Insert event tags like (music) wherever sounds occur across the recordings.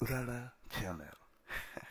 Rara Channel. (laughs)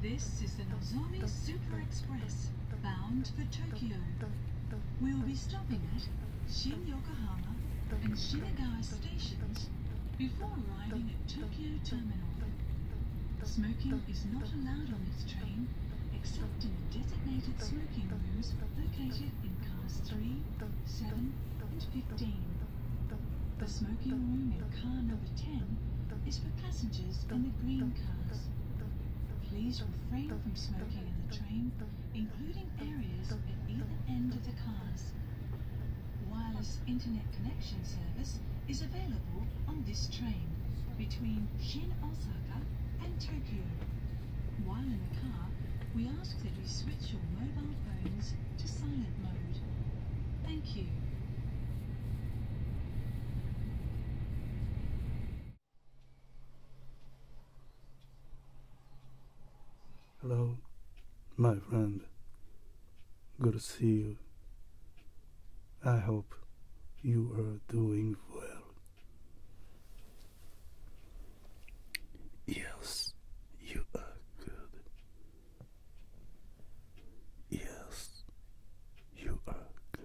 This is the Nozomi Super Express, bound for Tokyo. We'll be stopping at Shin Yokohama and Shinagawa stations before arriving at Tokyo Terminal. Smoking is not allowed on this train, except in the designated smoking rooms located in cars 3, 7, and 15. The smoking room in car number 10 is for passengers in the green cars. Please refrain from smoking in the train, including areas at either end of the cars. Wireless internet connection service is available on this train between Shin Osaka and Tokyo. While in the car, we ask that you switch your mobile phones to silent mode. Thank you. Hello, my friend. Good to see you. I hope you are doing well. Yes, you are good. Yes, you are good.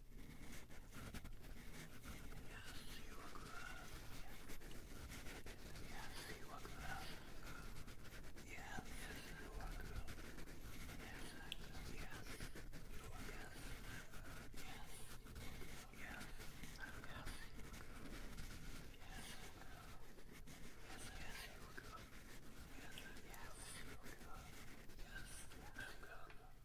you are good. Yes, you are good. Yes, you are good. Yes, yes, you are good. Yes, yes, yes, Yes, yes, you are good. Yes, yes, you are good. Yes, yes, you are good.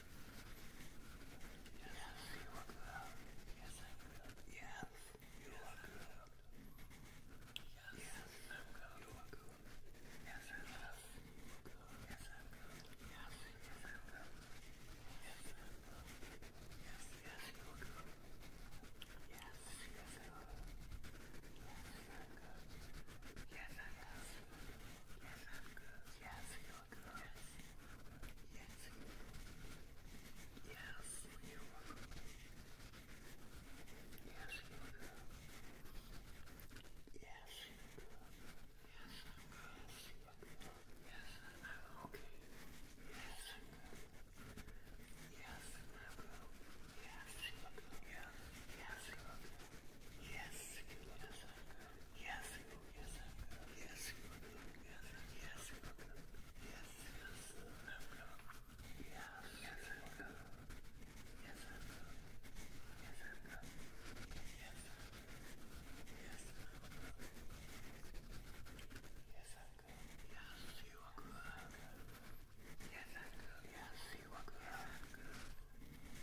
Yes, you look good. Yes, I'm good. Yes, you yes, look good. good. Yes, I'm good. You look good. Yes, I'm good. Yes, I'm good. Yes, yes, I'm good. Yes, I'm good. Yes, yes, you look good. Yes, yes, I'm good. Yes, I'm good. Yes, I'm good. Yes, I'm good. Yes, you Yes. Yes, you are. Yes, you do. Yes, you do. Yes, I'm good. Yes, I'm okay. Yes, I'm good. Yes, I'm good. Yes, you do. Yes, yes, you do. Yes, yes, I'm good. Yes, yes, yes, yes, yes, yes, yes, yes, Yes, yes, yes, yes. Yes, I'm good. Yes, you are good. Yes, I'm good. Yes, you are good. Yes, I'm good.